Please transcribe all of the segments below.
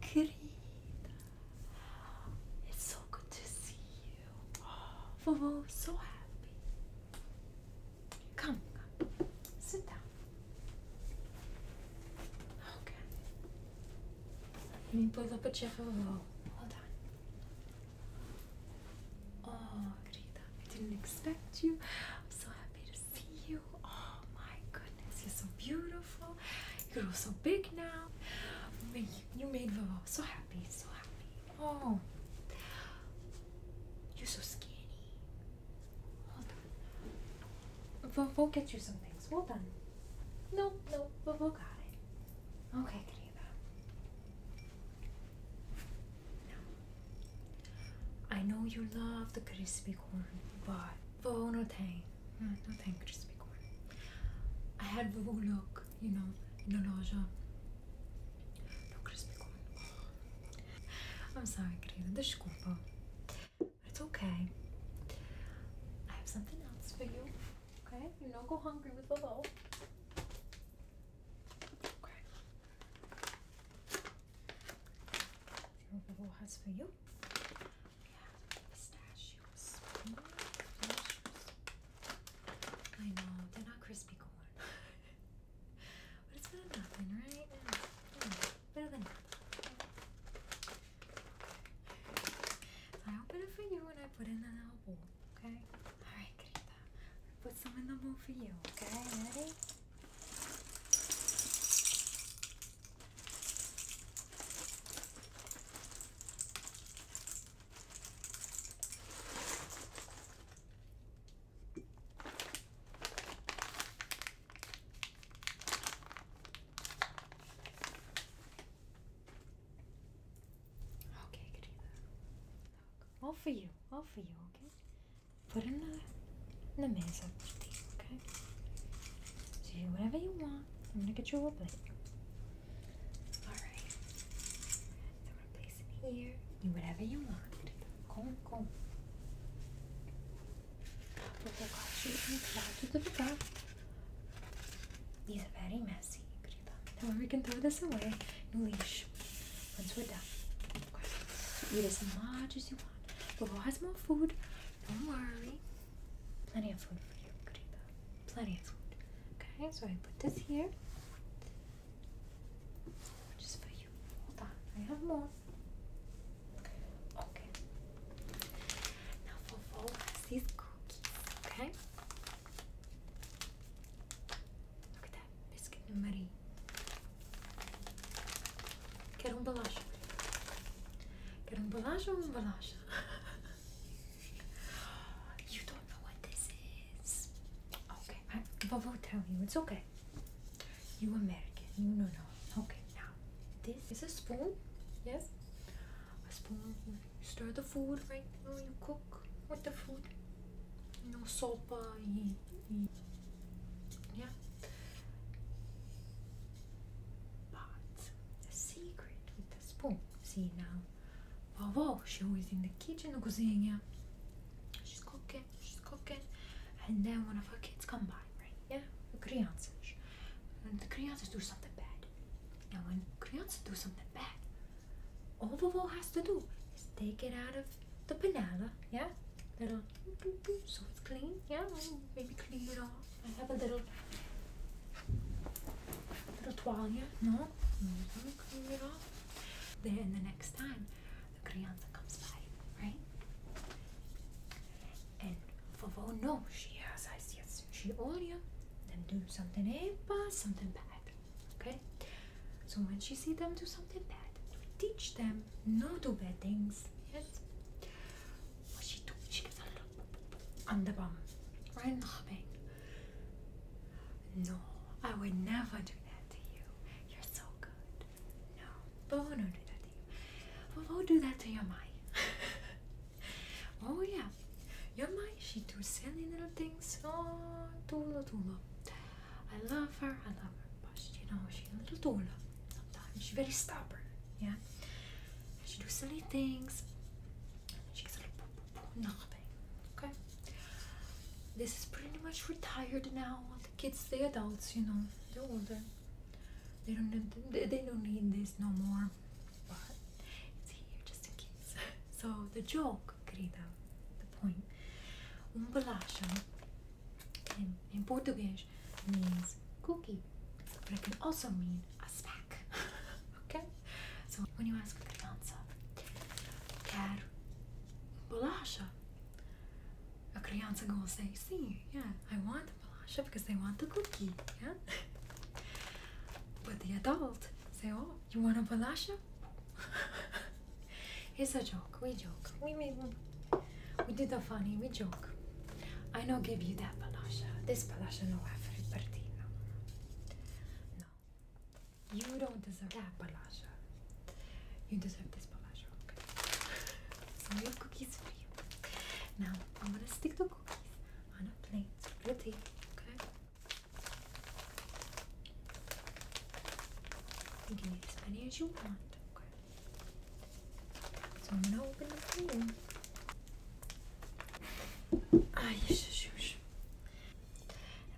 Querida, it's so good to see you. Oh, so happy. come, sit down. Okay. Let me pull up a GIF of a Hold on. Oh, Rita, I didn't expect you. I'm so happy to see you. Oh my goodness, you're so beautiful. You grow so big now. You made Vovo so happy, so happy. Oh, you're so skinny. Hold We'll, get you some things. Well done. No, no, we'll, we'll got it. Okay, Kriva. Now, I know you love the crispy corn, but oh no thank, no, no thank crispy corn. I had a look, you know, no the loja. No crispy corn. I'm sorry, Kriva. Desculpa. It's okay. I have something else for you. Okay? You don't go hungry with the loaf. Okay. Lobo has for you. We have pistachios. I know, they're not crispy corn. but it's good enough, right? Hmm. I open it for you and I put in an elbow, okay? Alright, Greta. Put some in the bowl for you, okay? Ready? Okay, good All for you, all for you, okay? Put in the, the mesa with these, okay? So do whatever you want. I'm gonna get you a plate. Alright. I'm gonna place it here. Do whatever you want. Go, go purple These are very messy, Greta. we can throw this away and leash once we're done. eat as much as you want. Bobo has more food. Don't worry. Plenty of food for you, Greta. Plenty of food. Okay, so I put this here. Just for you. Hold on, I have more. Okay. Now Fofo has these cookies, okay? Look at that, biscuit and Marie. Quero um bolacha. Quero um bolacha ou um bolacha? you don't know what this is. Okay, I, tell you. It's okay. You American, you know no. Okay, now this is a spoon yes a spoon you stir the food right now you cook with the food no soap uh, yeah but the secret with the spoon see now wow wow she was in the kitchen cozinha she's cooking she's cooking and then one of her kids come by right yeah the crianças when the Krians do something bad. now when Krians do something bad, all the Vovo has to do is take it out of the panela, yeah? Little so it's clean, yeah? Maybe clean it off. I have a little little towel No? Clean it off. Then the next time the Krianza comes by, right? and for Vovo no, she has eyes, yes. She olja them do something eh, something bad. Okay? So when she see them do something bad, teach them no do bad things. Yes. What she do, she gets a little on the bum. Right loving. Ah, no, I would never do that to you. You're so good. No. Vovo no do that well, do do that to your mind. oh yeah, your mind. She do silly little things. Oh, Tula Tula. I love her. I love her, but you know she a little Tula. Sometimes she very stubborn. Yeah, she do silly things. She's a little poo poo poo nothing. Okay. This is pretty much retired now. The kids, the adults, you know, they're older. They don't need, they don't need this no more, but it's here just in case. So the joke, querida, the point. Um in, Portuguese means cookie, but it can also mean a snack. okay? So when you ask a criança, quero bolacha, a crianca will say, see, yeah, I want Balasha because they want the cookie, yeah? but the adult say, oh, you want a Balasha? it's a joke. We joke. We made We did a funny. We joke. I no give you that Balasha. This Balasha no everybody. No. No. You don't deserve that Balasha. You deserve this Balasha. Okay? so we cookies for you. Now, I'm going to stick to on a plate with okay? You can eat as you want, okay? So I'm gonna open it for you. Ay, shush, shush.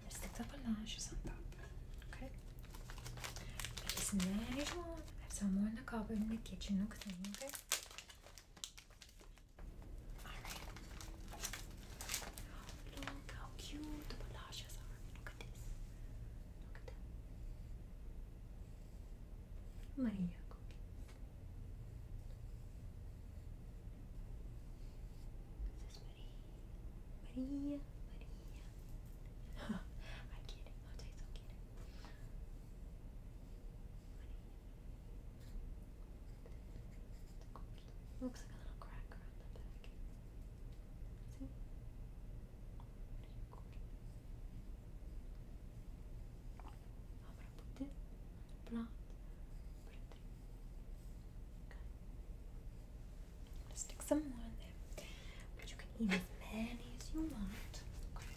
I'm stick the panaches on top, okay? Eat as many I have some more in the cupboard in the kitchen, Okay? Look how cute the balashes are. Look at this. Look at that. Maria Maria. Maria. I'm kidding. I'm so kidding. Looks like a little crack around the back. See? I'm gonna put it blonde. Put there. Okay. stick some more in there. But you can eat as many as you want. Okay.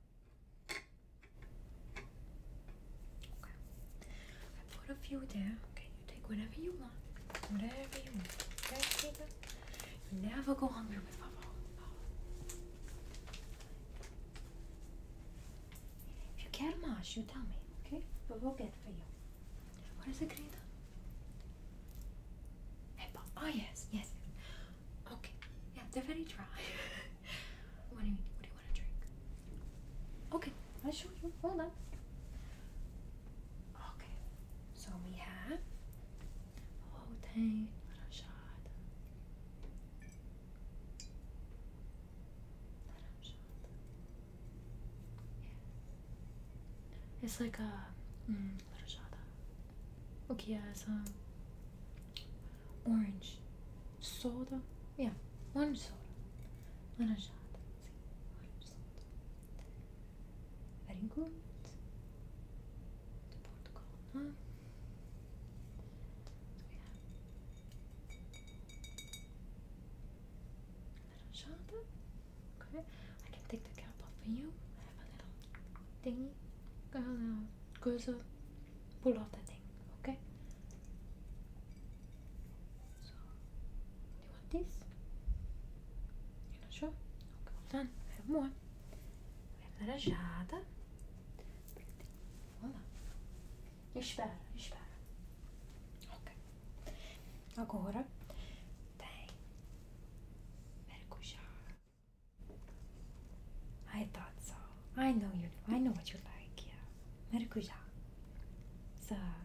I put a few there. Okay, you take whatever you want. Whatever you want. never go hungry with Papa. If you care much, you tell me, okay? But we'll get for you. What is it, Greta? Hey, oh yes, yes. Okay. Yeah, they're very dry. what do you What do you want to drink? Okay, I'll show you. Hold on. Okay, so we have. Oh dang! What a shot! What shot! Yeah. It's like a. Uh, mm, what shot! Okay, I have some Orange soda. Yeah, one soda. one soda. Orange soda. Very good. Portugal. Huh? Aranciata. Okay. I can take the cap off for you. I have a little thingy. Go goes up. Pulou out the thing, okay? So, do you want this? You're not sure? Okay, Vamos done. We have more. Vamos lá. Espera, espera. Ok. Agora tem maracujá. I thought so. I know you. I know what you like. Yeah, maracuja. It's a uh,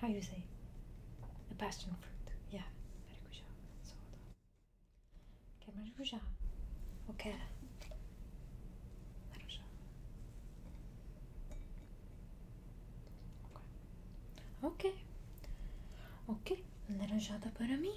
how you say a passion fruit. Yeah, maracuja. So okay, maracuja. Okay. Maracuja. Okay. Ok, laranjada para mim.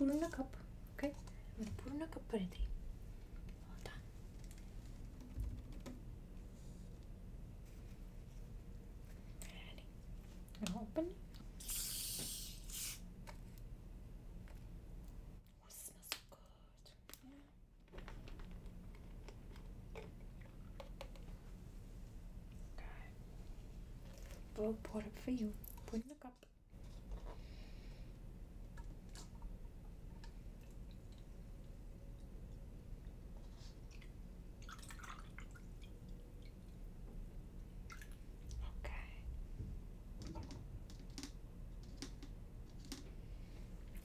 So now put, cup, okay? I'm gonna put in a cup for three. open. Oh, smells so good. Okay. we pour it for you. Put cup. Okay.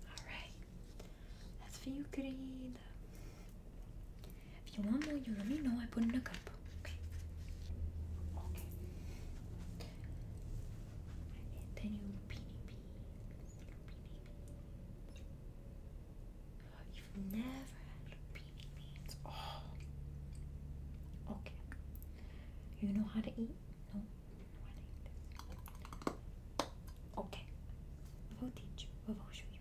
Alright, that's for you, Creed. If you want more, you let me know. I put in a cup. Okay. And then you beanie beans. Beanie beans. You've never had beanie beans. Oh. Okay. You know how to eat? No. Okay. We'll teach you. We'll show you.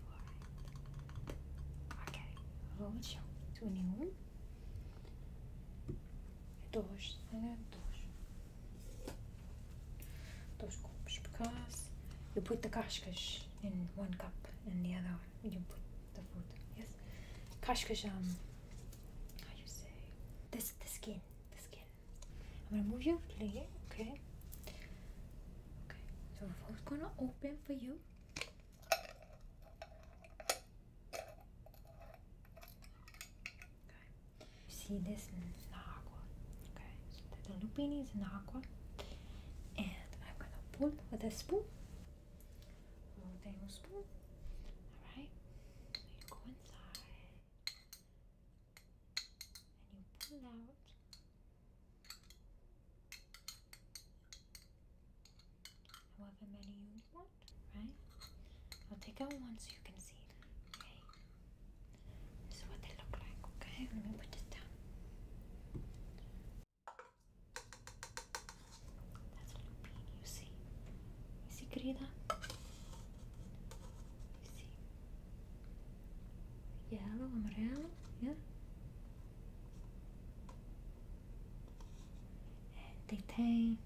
Alright. Okay. We'll show it to you. Дощ, не дощ. Those cups because you put the kashkash in one cup and the other you put the food. Yes, kashkash. Um, how you say this? The skin, the skin. I'm gonna move you, Okay. Okay. So i gonna open for you. You see this is the aqua. Okay, so the lupini is in aqua. And I'm gonna pull with a spoon. One tablespoon. Alright. So you go inside and you pull out however many you want, right? I'll take out one so you can see them, okay? This is what they look like, okay? Let me put this down. That's lupine, you see? You see, querida? You see? Yellow, amarelo, yeah? They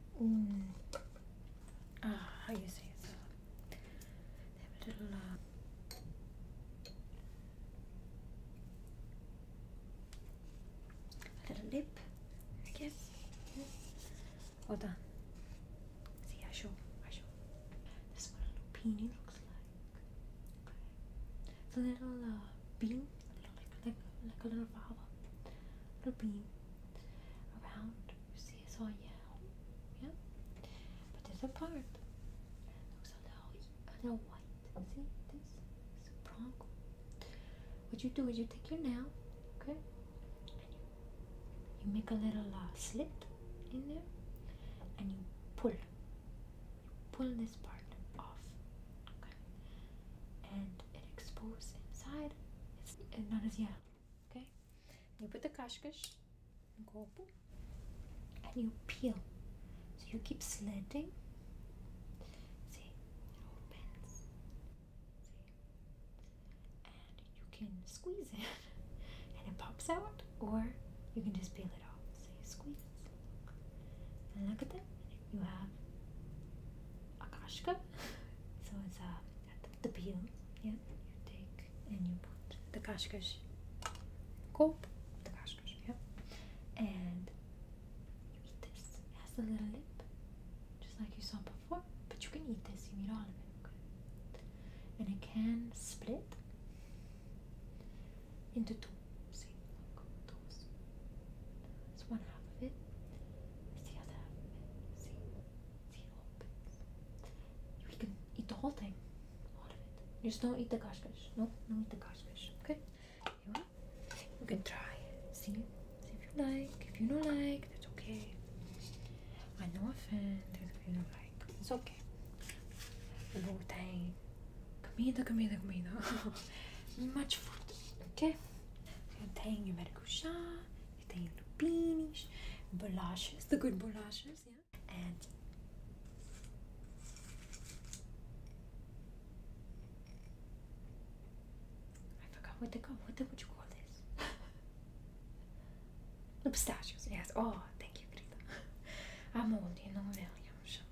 Ah, how you say so? a little. Uh, a little lip, I guess. Yes. Well done. See, I show, I show. That's what a little peony looks like. Okay. It's a little bean uh, like, like a little flower, little beam around. You see, it's all yellow, yeah. But there's a part. Looks a little, a little white. See this? It's a bronco. What you do is you take your nail, okay, and you make a little uh, slit in there, and you pull, you pull this part off, okay, and and exposed inside, it's not as yellow. Okay? You put the kashkash and kopu and you peel. So you keep slanting. See, it opens. See? And you can squeeze it and it pops out, or you can just peel it off. So you squeeze. And look at that you have a akashka so it's a uh, the peel yeah you take and you put the kashkash cope the kashkash yeah and you eat this it has a little lip just like you saw before but you can eat this you eat all of it and it can split into two that's one half of it. That's the other half of it. See? See it opens. You can eat the whole thing. All of it. Just don't eat the kashkash. No, don't eat the kashkash. Okay? You, know? you can try. See? See if you like. If you don't like, that's okay. I no offense if you don't like. It's okay. The whole thing. Comida, comida, comida. Much food. Okay? You your Eu tenho maracujá, eu tenho lupinis, bolachas, the good bolachas, yeah? And I forgot what they call. What the, would you call this? the pistachios. Yes. Oh, thank you, Greta. I'm old, you know, Lily. I'm sure.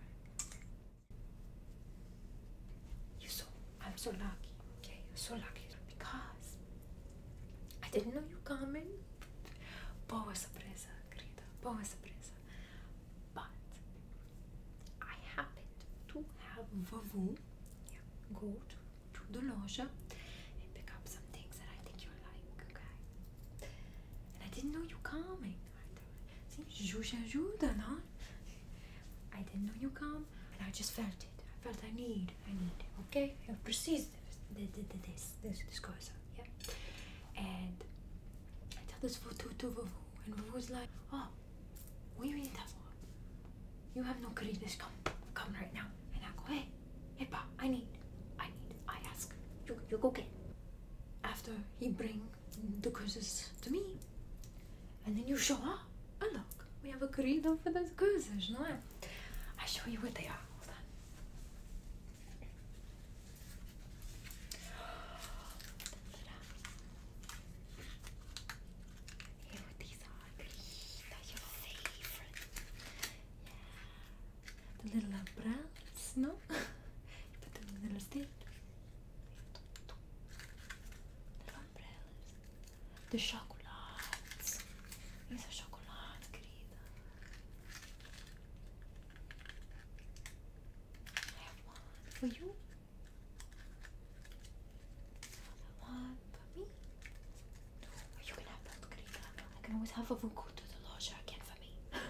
You're so, I'm so lucky, okay? You're so lucky because I didn't know you coming. Boa surpresa, querida. Boa surpresa. But I happened to have Vavu yeah, go to, the loja and pick up some things that I think you like, okay? And I didn't know you coming. I thought, see, Juju I didn't know you come, and I just felt it. I felt I need, I need. Okay, I perceive this, this, this, this, this cosa, yeah. And I tell this to to Vuvu, and Vuvu's like, oh, we mean that one. You have no credence. Come, come right now. And I go, hey, hey, pa, I need, I need. I ask, you, you go get. After he bring the curses to me, and then you show up. Oh, look, we have agreed over das coisas, não é? I'll show you what they are. Hold on. these are The little umbrellas, uh, no? Put them in the little stick. Little umbrellas. The chocolate. Isso é chocolate, querida. I have one for you. One for me. Or you can have both, querida. I can always have a vucu to the lodge again for me.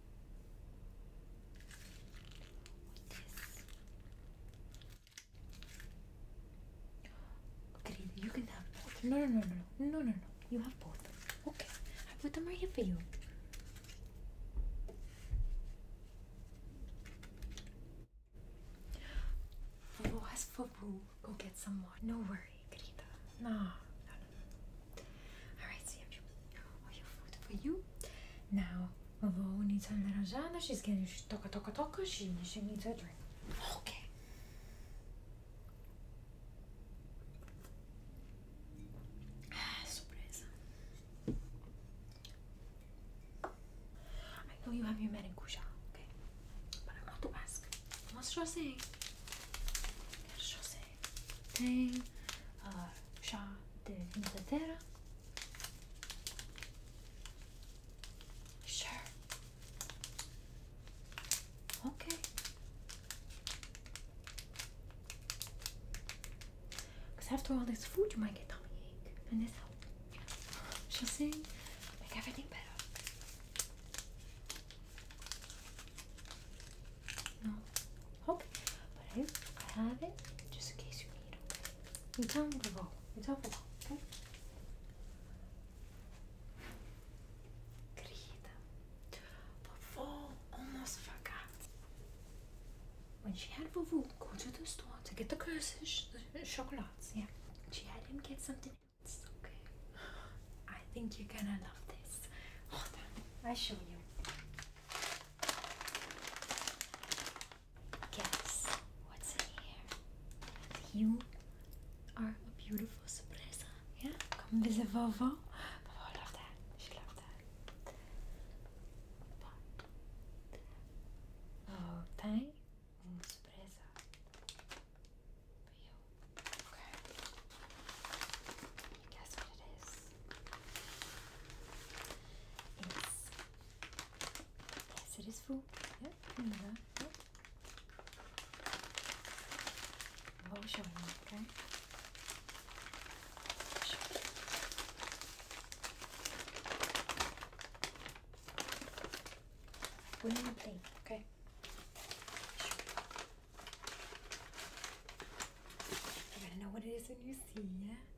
Okay, you can have both. No, no, no, no, no, no, no, You have both. Okay, I put them right here for you. We'll oh, ask for Go get some more. No worry, querida. No, All right, see you or oh, your food for you. Now, Mavo needs her little Jana. She's getting she's toka toka toka. She, she needs her drink. Okay. Ah, surprise. I know you have your maracuja, okay? But I want to ask. What's Rosé? Rosé. Thing. Uh, Sure. Okay. Because after all this food, you might get tummy and this she'll sing, make everything better. No. Okay. I, have it just in case you need it. You Okay? It's unbelievable. It's unbelievable. Okay. Querida, Vuvu almost forgot. When she had Vuvu go to the store to get the cookies, the chocolates, yeah, she had him get something else, okay? I think you're gonna love this. Hold on, i show you. Guess what's in here? You are a beautiful surprise. Yeah? Come visit Vovo. Vovo loved that. She loves that. But Vovo tem for you. Okay. Guess what it is? Yes. Yes, it is full. Yep, Mila. Yep. I'm all showing you, okay? Sure. We're in a plane, okay? Sure. You're gonna know what it is when you see, yeah?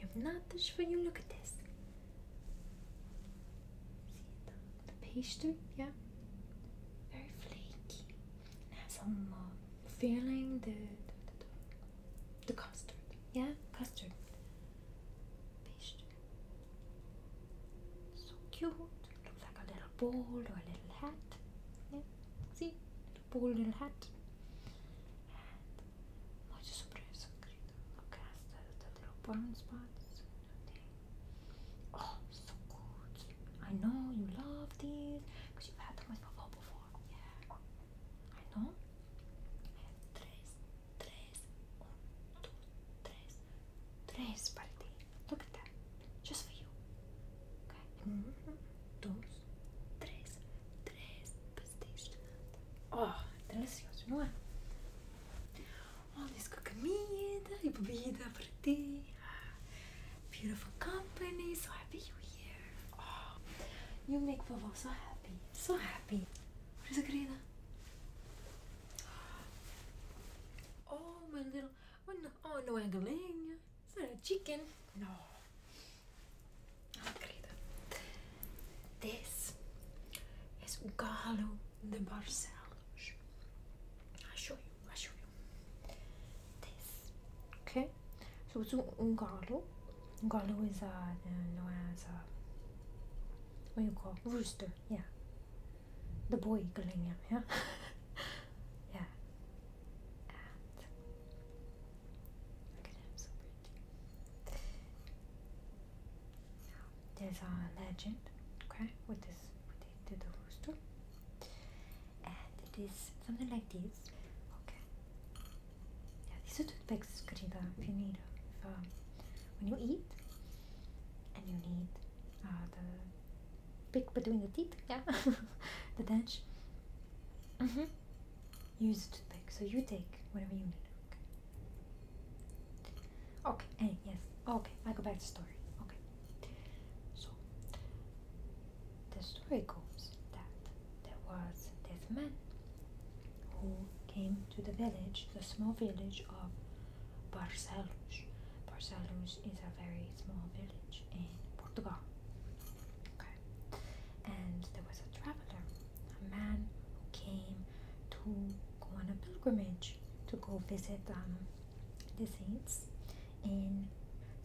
You have nothing for you. Look at this. See the, pastry? Yeah. Very flaky. It has some um, uh, feeling the, the, custard. Yeah, custard. Pastry. So cute. Looks like a little bowl or a little hat. Yeah, see? Little bowl, little hat and much surprise and greeting. Look at the, the little burn spots. Oh, so good. I know you love these because you've had them with Papa before. Yeah. I know. I have tres, Look at that. Just for you. Okay. Mm Oh, delicious! não é? Oh, All this good comida e bebida para ti. Beautiful company, so happy you're here. Oh, you make vovó so happy, so happy. Por isso, querida. Oh, my little, oh no, oh no, é galinha, it's a chicken. No. No ah, credo. This is Galo de Barcelos. i show you. i show you. This. Okay. So it's un um galo. Um galo is a known uh, as a what you call rooster? Yeah. The boy galinha. Yeah. yeah there's a legend, okay, with this, with the, the rooster. And it is something like this, okay. Yeah, these are toothpicks, Karida, if you need, if, um, when you eat, and you need uh, the pick between the teeth, yeah, the dentures. Mm hmm. Use the toothpick, so you take whatever you need. Okay. Okay, hey, yes. Okay, I go back to story. Okay. So, the story goes that there was this man who came to the village, the small village of Barcelos. Barcelos is a very small village in Portugal. And there was a traveler, a man who came to go on a pilgrimage to go visit um, the saints in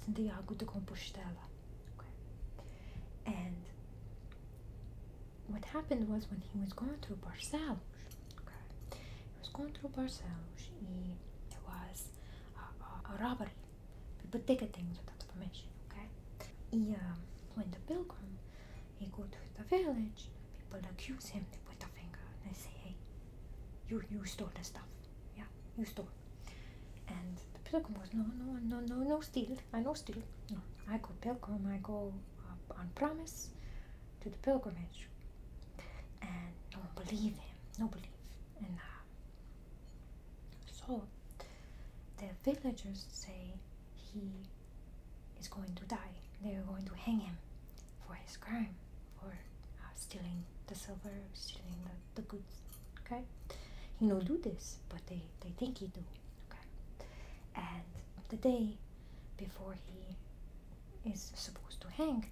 Santiago de Compostela. And what happened was when he was going through Barcelona, okay, he was going through Barcelona, he, there was a, a robbery. People take things without permission, okay? He, uh, when the pilgrim, he go to the village, people accuse him, they put a finger, and they say, hey, you, you stole the stuff, yeah, you stole. And the pilgrim goes, no, no, no, no, no steal, I no steal, no, I go pilgrim, I go on promise to the pilgrimage. And no one believe him, no believe. And uh, so the villagers say, he is going to die. They are going to hang him for his crime, for uh, stealing the silver, stealing the, the goods. Okay, he no do this, but they they think he do. Okay, and the day before he is supposed to hang,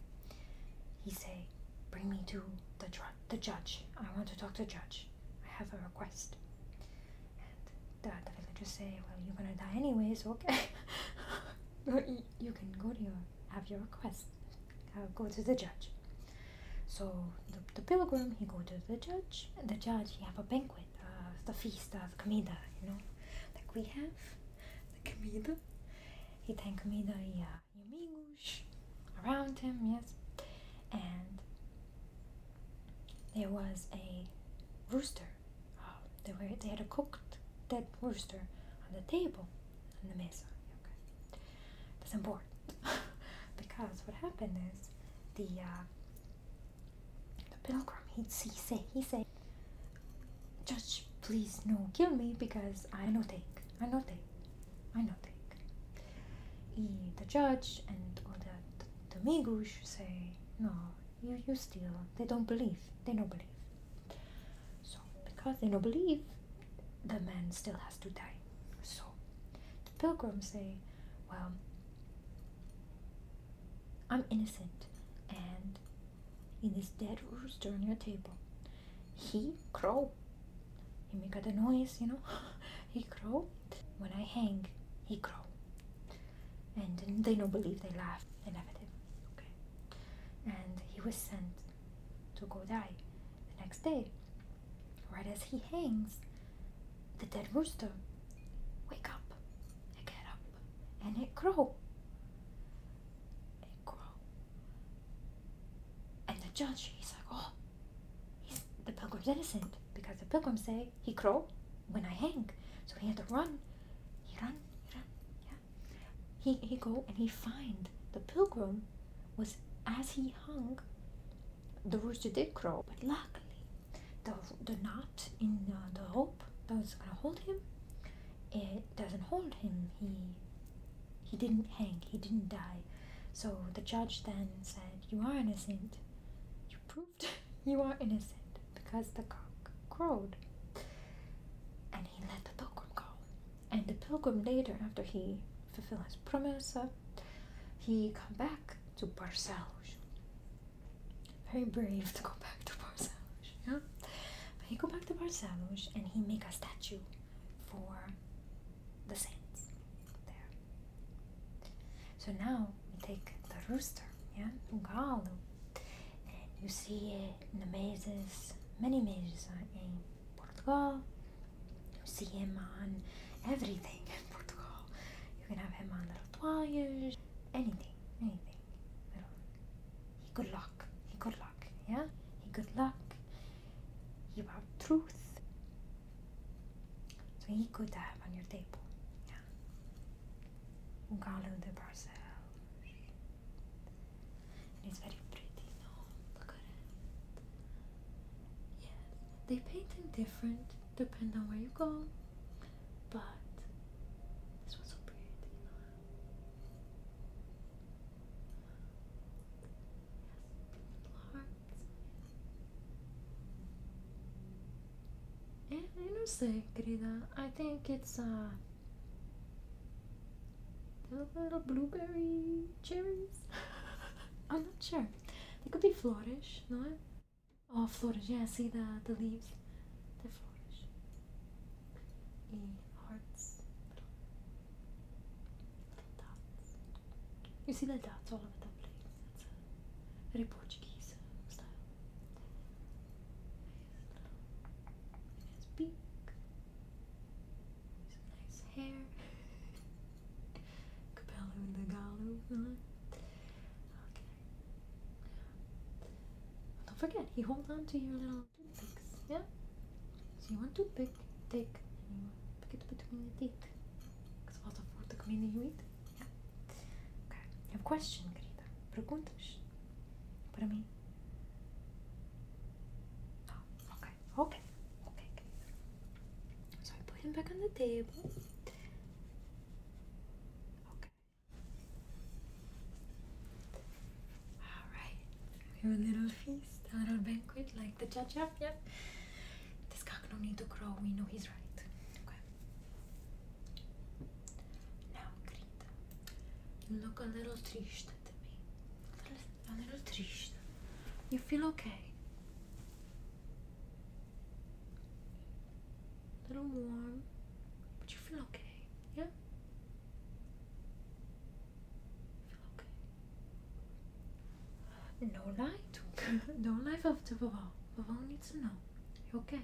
he say, "Bring me to the the judge. I want to talk to judge." I have a request. And the, the villagers say, Well, you're gonna die anyway, so okay. you can go to your, have your request. Uh, go to the judge. So the, the pilgrim, he go to the judge. And the judge, he have a banquet, uh, the feast, uh, the comida, you know. Like we have the comida. He thank comida e uh, amigos around him, yes. And there was a rooster. Oh. they were they had a cooked dead rooster on the table on the mesa. Okay, that's important because what happened is the uh, the pilgrim he, he said he said, Judge, please no kill me because I no take I no take I no take. He, the judge and all that. Domingo should say, No, you, you still, they don't believe, they don't believe. So, because they don't believe, the man still has to die. So, the pilgrim say, Well, I'm innocent, and in this dead rooster on your table, he crow. He make a noise, you know. he crowed When I hang, he crowed, And they don't believe, they laugh, they laugh at Okay. And he was sent to go die the next day. Right as he hangs, the dead rooster wake up and get up and it crow. It crow. And the judge, he's like, oh, the pilgrim's innocent because the pilgrim say he crow when I hang. So he had to run. He run, he run, yeah. He he go and he find the pilgrim was as he hung, the rooster did crow, but luckily the the knot in the rope that was gonna hold him, it doesn't hold him. He he didn't hang, he didn't die. So the judge then said, You are innocent. You prove you are innocent because the cock crowed. And he let the pilgrim go. And the pilgrim later, after he fulfilled his promise, uh, he come back to Barcelos. Very brave to go back to Barcelos, yeah? he go back to Barcelos and he make a statue for the saints there. So now we take the rooster, yeah, Galo. And you see it in the mazes, many mazes in Portugal. You see him on everything in Portugal. You can have him on little toys, anything, anything. He good luck, he good luck, yeah? He good luck. He about truth. So he could have on your table, yeah? o garland de Barcells. It's very pretty, Look at it. Yes, they paint them different depending on where you go, but this one's so pretty. You Yes, Eh, eu não sei, querida. I think it's uh the little blueberry cherries. I'm not sure. They could be flores, não Oh, flores, yeah, see the, the leaves. They're flores. E hearts. Little, dots. You see the dots all over the place very Portuguese style. And his beak, his nice hair, Capello and the Gallo. Okay. Don't forget, you hold on to your little toothpicks, yeah? So you want to pick, take, and you want to pick it between the teeth. Because what's the food the community you eat? Okay. You have a question, querida? Perguntas para mim? Oh, okay. Okay. Okay, So I put him back on the table. Okay. Alright. We have a little feast, a little banquet like the judge champion. This cock no need to crow, we know he's right. Okay. Now, Greta, you look a little triste to me. A little, triste. You feel okay? A little warm, but you feel okay, yeah? feel okay. No lie, no life of the The Vavon needs to know. You okay?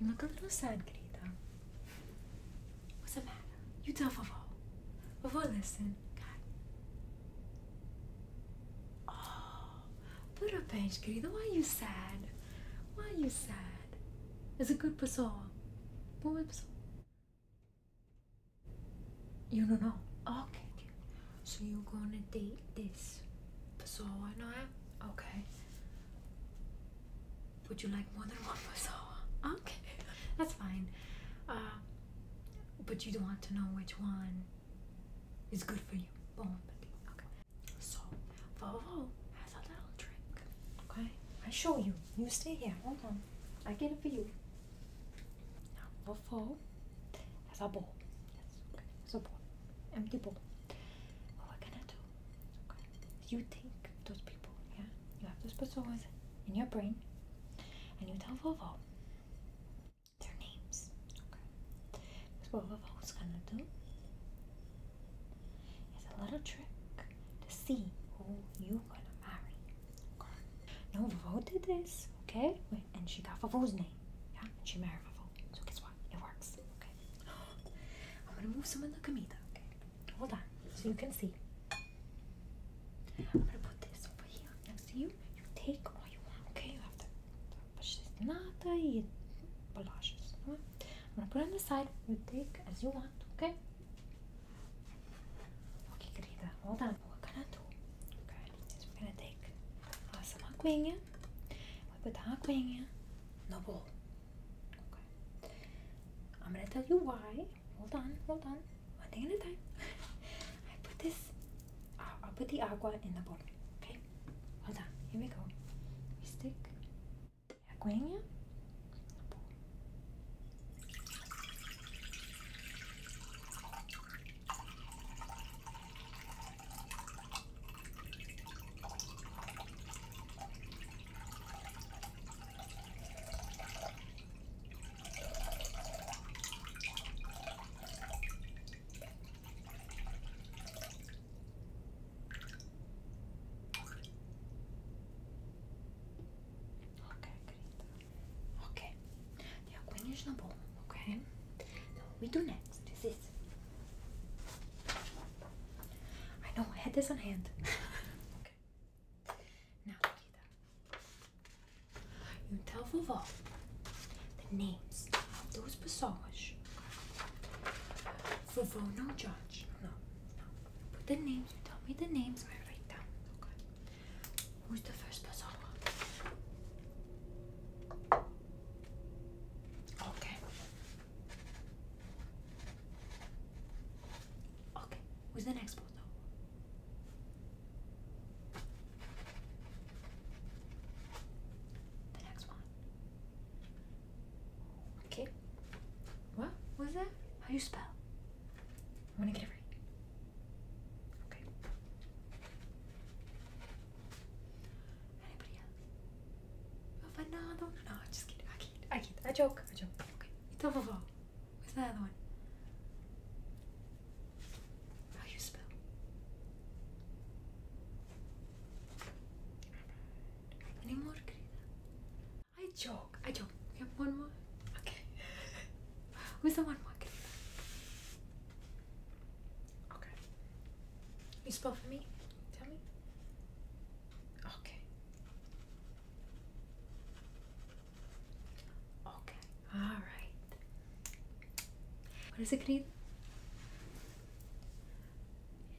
You look a little sad, Greta. What's the matter? You tell Vovó. Vovó, listen. God. Oh, parabéns, Greta. Why are you sad? Why are you sad? Is it good pessoa. Boa pessoa. You don't know. Okay. So you're gonna date this? Pasawa now? Okay. Would you like more than one Pasawa? Okay. That's fine. Uh, but you don't want to know which one is good for you. Okay. So, Volvo has a little trick. Okay? I show you. You stay here. Hold on. I get it for you. Now, Volvo that's a ball, That's okay. a ball, Empty bowl. Well, what can I do? You think those people, yeah? You have those personas in your brain, and you tell Vovo their names. Okay. What what Vovo's gonna do It's a little trick to see who you're gonna marry. No, Vovo did this, okay? When and she got Fafu's name. Yeah, and she married Fafu. So guess what? It works. Okay. I'm gonna move some of the comida. Okay. Hold on, so you can see. I'm gonna put this over here next to you. You take all you want. Okay, you have to. But she's not the blushes. I'm gonna put it on the side. You take as you want. Okay. Okay, querida. Hold on. What we're gonna do? Okay, is we're gonna take uh, some aguinha. وبتعاقبين noble okay I'm gonna tell you why hold on hold on one thing at a time I put this I'll, put the agua in the bowl okay hold on here we go we stick the in the bowl Okay, great. Okay, yeah, Queen is not ball. Okay, now we do next. This is I know I had this on hand. okay. Now, you tell Vovó the names of those pessoas. Vovó, no judge. No, no. Put the names. You tell me the names. I write down. Okay. Who's the first pessoa? Okay. Okay. Who's the next photo? The next one. Okay. What? was that? How you spell? I wanna get it right. Okay. Anybody else? Oh, but no, no, no, just kidding. I kid. I kid. I joke. I joke. Okay. It's all vovó. Who's the other one? How you spell? Any more, querida? I joke. I joke. We have one more. Okay. Who's the one more, querida? Okay. You spell for me? Tell me. Okay. Okay. All right. What is it, Creed?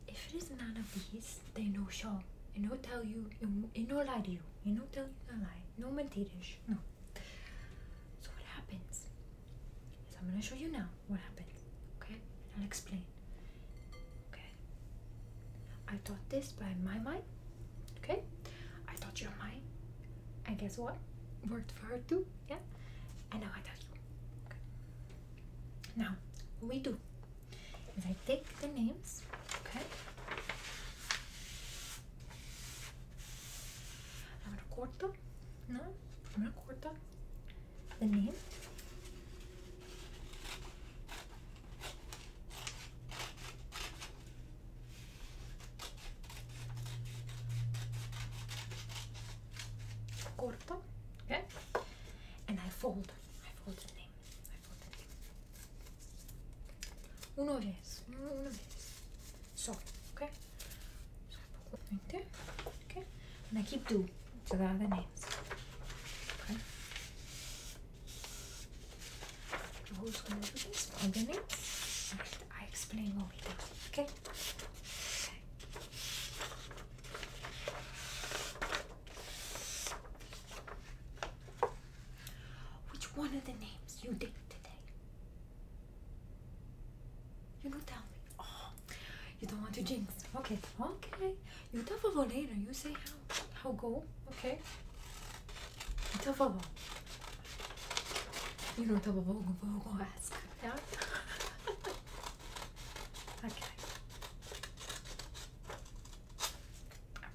If it is none of these, they no show. They no tell you, it, no lie to you. It no tell you no lie. No mentiras. No. So what happens? So I'm gonna show you now what happened. Okay? I'll explain. Okay. I thought this, by my mind, okay? I thought your mine. And guess what? Worked for her too, yeah? And now I thought you. Okay. Now, what we do is I take the names, okay? I'm gonna record them. No, I'm gonna record them. the name. Corto, okay, and I fold. I fold the name. I fold the name. Uno vez, uno vez. So, okay. Okay. And keep two. So there are the names. Okay. Who's gonna do this? All the names. I explain all of them. Okay. Which one of the names you did today? You know, tell me. Oh, you don't want to jinx. Okay, okay. You talk about later. You say how how go. Okay. You tell You don't tell for go go ask. Yeah. okay.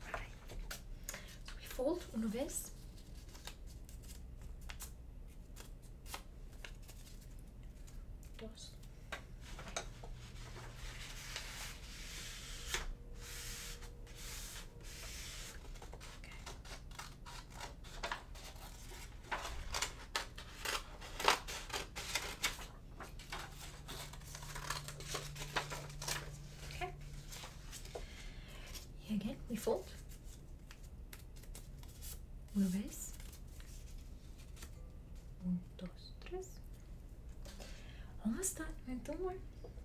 Alright. we fold uma vez. Dos. Okay. Again, we fold, we raise, Un, dos, tres. Almost have two more.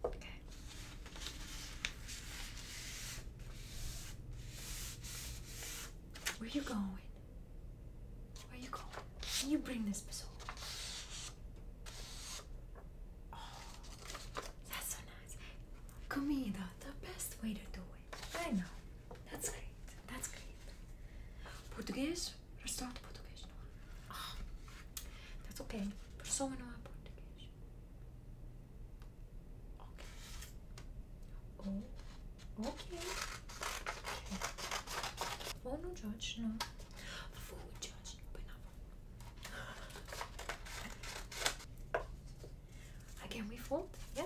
Okay. Where you going? Where you going? Can you bring this pistol? Oh, that's so nice. Comida, the best way to do it. I know. That's great. That's great. Português? Restaurante português, that's okay. Persona não é português. Okay. Oh, okay. okay. Oh, no judge, no. Food judge, no, but Again, we fold. Yeah.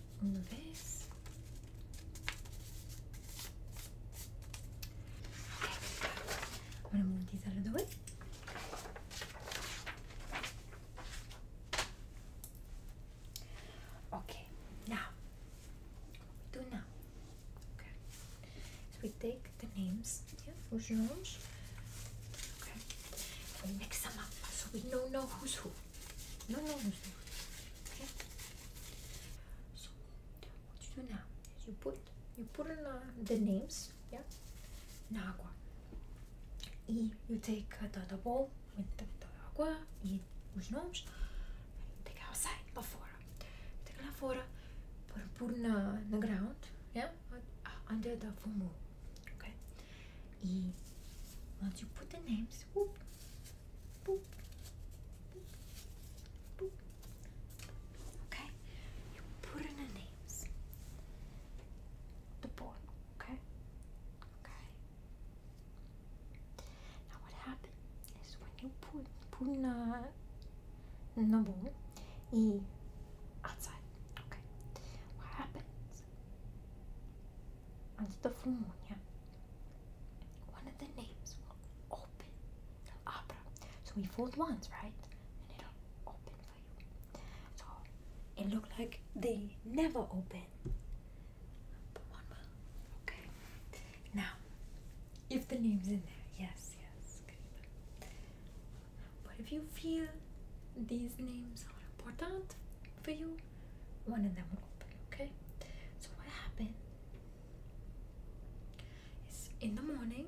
on the vase. Okay, I'm gonna move these out of the way. Okay, now we do now? Okay, so we take the names, yeah, rouge Okay, and mix them up so we do know who's who. No, no, who's who. Okay. So what you do now is you put you put in uh, the names, yeah. In agua. E you take uh, the, the bowl with the, the água e os nomes. Take outside, lá fora. Take lá fora. Put, put na, uh, na ground, yeah, uh, under the fumo. Okay. E once you put the names, whoop, Okay, you put in the names. The board, okay? Okay. Now what happens is when you put put in a number e outside, okay? What happens once the phone, yeah, one of the names will open the opera. So we fold once, right? And it'll open for you. So it looked like they never open. Okay. Now, if the name's in there, yes, yes, But if you feel these names are important for you, one of them will open, okay? So what happened is in the morning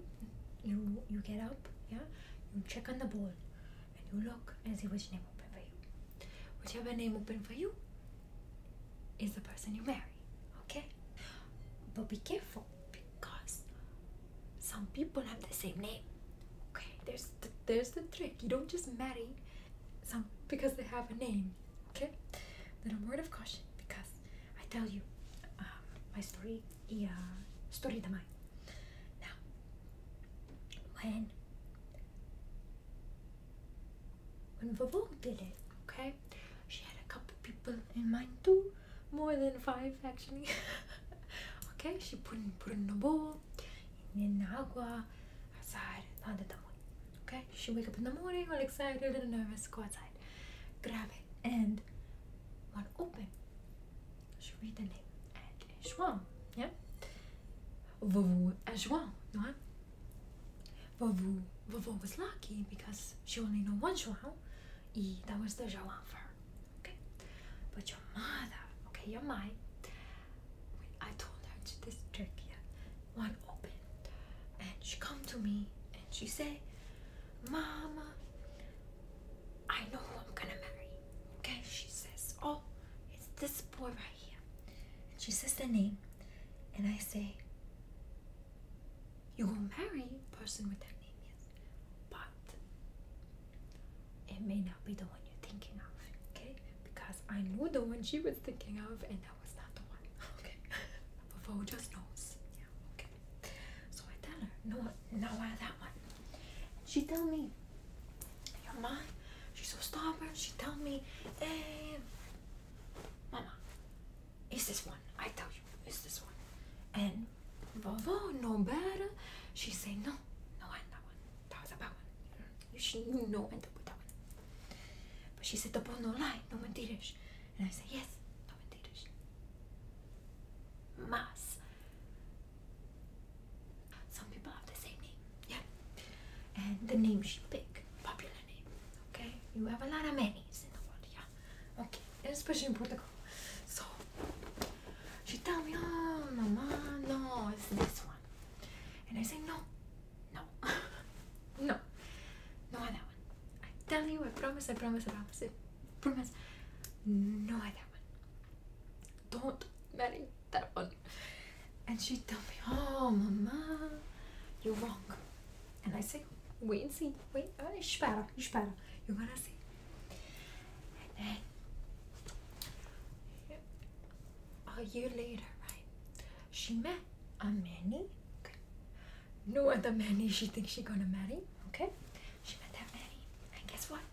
you you get up, yeah, you check on the board and you look and see which name open for you. Whichever name open for you is the person you marry, okay? But be careful because some people have the same name. Okay, there's there's the trick. You don't just marry some because they have a name. Okay, little word of caution because I tell you um, my story. Yeah, uh, story the mine. Now, when when Vovo did it, okay, she had a couple people in mind too, more than five actually. okay, she put put in the bowl, in the agua, asar, nada tamoy. Okay, she wake up in the morning all excited and nervous, go outside, grab it, and one open. She read the name and João, yeah? Vovô and you know? Vovô, Vovô was lucky because she only know one João, e that was the João for her, okay? But your mother, okay, your mind, I told her to this Turkey one open and she come to me and she say Mama I know who I'm gonna marry okay she says oh it's this boy right here and she says the name and I say you will marry person with that name yes but it may not be the one you're thinking of okay because I knew the one she was thinking of and no, it's not the one. Okay. But just knows. Yeah, okay. So I tell her, no, no out that one. She tell me, your mom, she's so stubborn. She tell me, eh, mama, it's this one. I tell you, it's this one. And Vovo, no better. She say, no, no, I that one. That was that one she knew no end up with that one. But she said, the no lie, no one did it, And I said, yes, no mentiras. Mas. Some people have the same name, yeah. And the name she picked, popular name, okay? You have a lot of names in the world, yeah. Okay, and especially in Portugal. So, she tell me, oh, mama, no, it's this one. And I say, no, No. no. No that one. I tell you, I promise, I promise, I promise, I promise. No on that one. Don't marry that one. And she tell me, oh, mama, you're wrong. And I say, wait and see. Wait, oh, espera, espera. You're gonna see a year later, right? She met a Manny. No other Manny she thinks she gonna marry. Okay? She met that Manny. And guess what?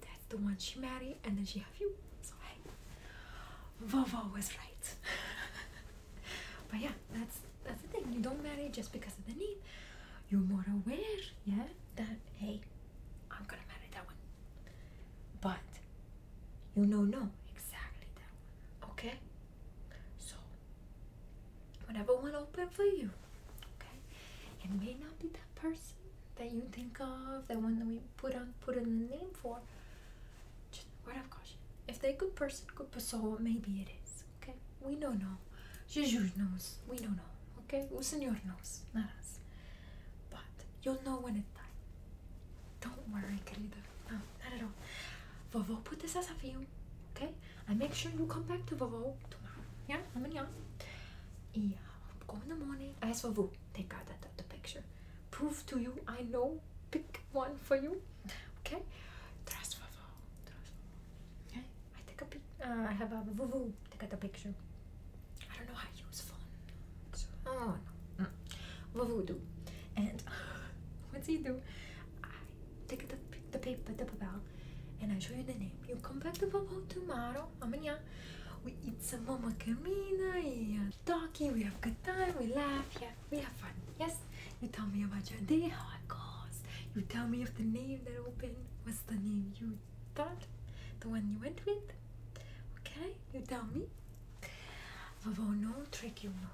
That's the one she married and then she have you. So hey. Vovo was right. but yeah, that's that's the thing. You don't marry just because of the need. You're more aware, yeah, that hey, I'm gonna marry that one. But you know, no, exactly that one. Okay? So, whatever one open for you. Okay? It may not be that person that you think of, that one that we put on put in the name for. Just word of caution. If they're a good person, good person, maybe it is. Okay? We don't know. Jesus knows. We don't know. Okay? O Senhor knows, not us. But you'll know when it time. Don't worry, querida no, not at all. Vovó put this as a view, okay? I make sure you come back to Vovó tomorrow. Yeah, I'm in yeah. Yeah, go in the morning. I ask Vovó, take out that, that, the picture. Prove to you I know. Pick one for you, okay? Trust Vovó, trust Okay, I take a pic. Uh, I have a Vovó take out the picture. I don't know how to use phone. Mm. what so you do? and what do you do i take the, the paper the papel and i show you the name you come back to papel tomorrow amanhã we eat some mama macarena and uh, talking we have good time we laugh yeah we have fun yes you tell me about your day how it goes you tell me of the name that opened was the name you thought the one you went with okay you tell me Vovô não trick you no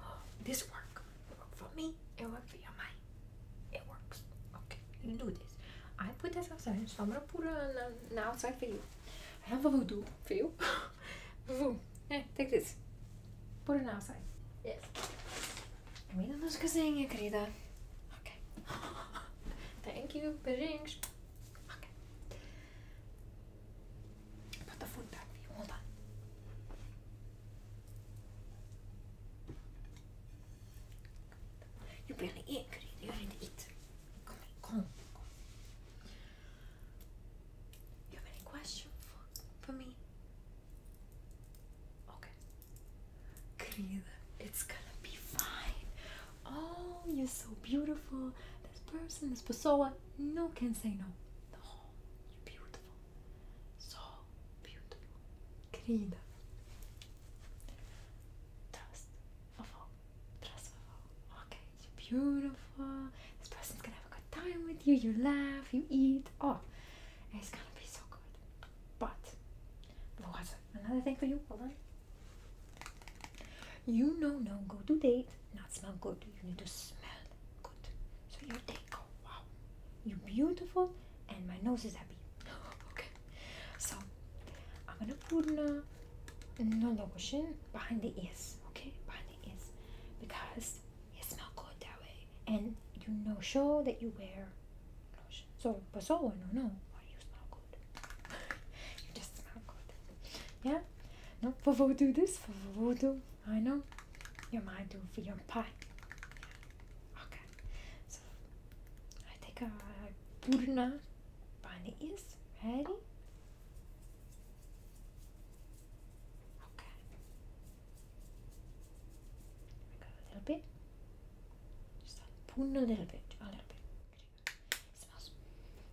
works, work. work for me. It work for your mind. It works. Okay, you do this. I put this outside. So I'm gonna put it on, on, on outside for you. And Vovô do for you. vou, eh, take this. Put it outside. Yes. Termina é a músicazinha, querida. Ok. Thank you. Beijinhos. Ok. Put the food back you. Hold on. You barely ate, Green. You already eat. Come come, come. You have any question for, me? Okay. Querida, it's gonna be fine. Oh, you're so beautiful. This person, this persona, no can say no the oh, home. Beautiful. So beautiful. Querida. Trust of all. Trust Okay, you're beautiful. This person's gonna have a good time with you. You laugh, you eat. Oh, it's gonna be so good. But, there another thing for you. Hold on. You know, no go to date. Not smell good. You need to smell Good. So your take. Oh, wow. You're beautiful, and my nose is happy. okay. So I'm gonna put no lotion behind the ears. Okay, behind the ears, because it smells good that way, and you know show that you wear lotion. So, but so no, no. Why you smell good? you just smell good. Yeah. No, for do this. For do I know. You might do for your pie. Okay. So I take a purna bunny is ready. Okay. a little bit. Just like purna little bit. A little bit. It smells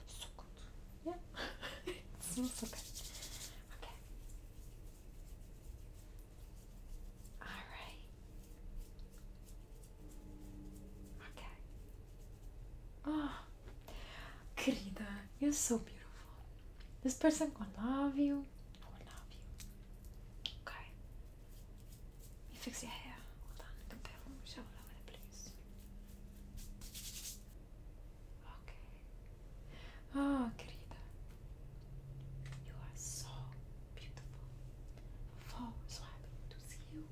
so good. Yeah. it smells so good. ok, All right. Ok. ah, querida, you're so beautiful. This person will love you. Will love you. Okay. You fix your hair. Hold on. Compare. Show it over the place. Okay. Ah, querida. You are so beautiful. so happy to see you.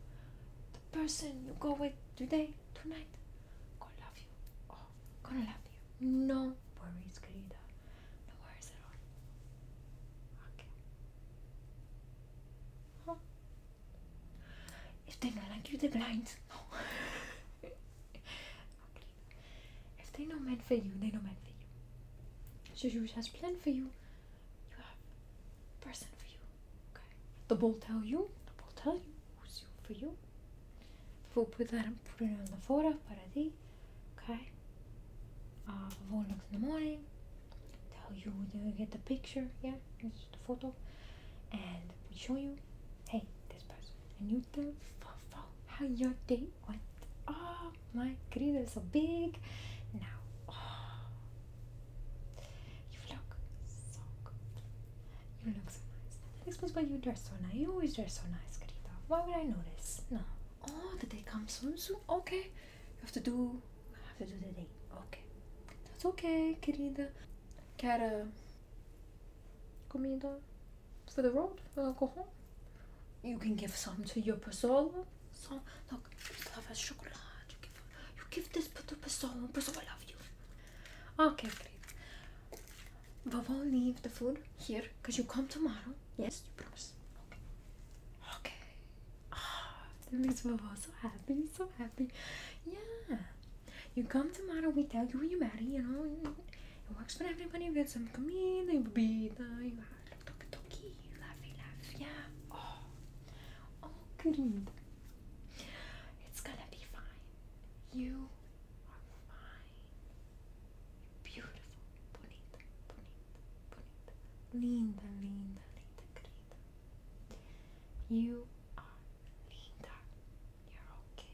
The person you go with today, tonight, gonna love you. Oh, gonna love you. No worries, querida. No worries at all. Okay. Oh. If they don't like you, they're blind. No. if they're not meant for you, they're not meant for you. So you has plan for you. You have person for you. Okay. The ball tell you. The ball tell you who's you for you. We'll put that put it on the photo para ti. Okay. Uh, we'll look in the morning. Tell you to get the picture. Yeah, it's the photo, and we show you hey, this person, and you tell Fofo how your day went. Oh, my grill is so big now. Oh, you look so good. You look so nice. That explains why you dress so nice. You always dress so nice, Greta. Why would I notice? No. Oh, the day comes soon, soon. Okay, you have to do. You have to do the day. Okay, that's okay, Greta. Cara, comida for the road when I go home. You can give some to your persona. So look, you love a chocolate. You give, you give this to persona. Persona love you. Okay, great. we'll leave the food here because you come tomorrow. Yes, you promise. Okay. Okay. Oh, ah, that makes me so happy. So happy. Yeah. You come tomorrow, we tell you who you marry, you know. It works for everybody, we got some comida, you bebida, you toque, toque, laughing, lave, yeah. Oh, good. Oh, querida. It's gonna be fine. You are fine. Beautiful, bonita, bonita, bonita. Linda, linda, linda, You are linda, you're okay.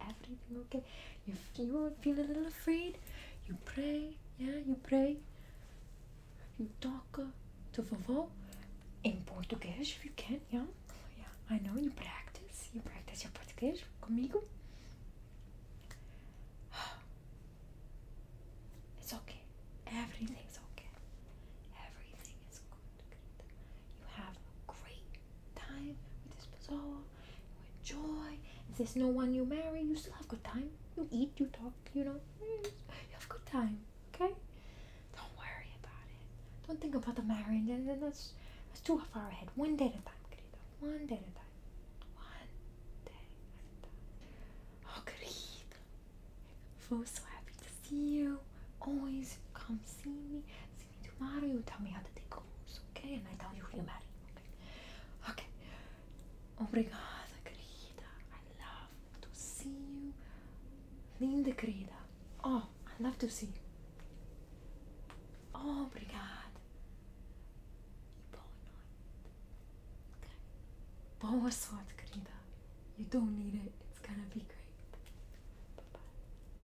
Everything okay. If you feel a little afraid, you pray. Yeah, you pray. You talk uh, to vovó in Portuguese if you can. Yeah, yeah. I know you practice. You practice your português comigo. It's okay. Everything's okay. Everything is good you have a great time with this bazaar, you enjoy. If there's no one you marry, you still have good time. You eat, you talk, you know, you have good time, okay? Don't worry about it. Don't think about the marriage, and that's, that's too far ahead. One day at a time, querido. One day at a time. One day at a time. Oh, querido. I'm so happy to see you. Always come see me me tomorrow, you tell me how to take homes, okay? And I tell you who you marry, okay? Okay. Obrigada, querida. I love to see you. Linda, querida. Oh, I love to see you. Oh, obrigada. E boa night. Okay. Boa sorte, querida. You don't need it. It's gonna be great. Bye-bye.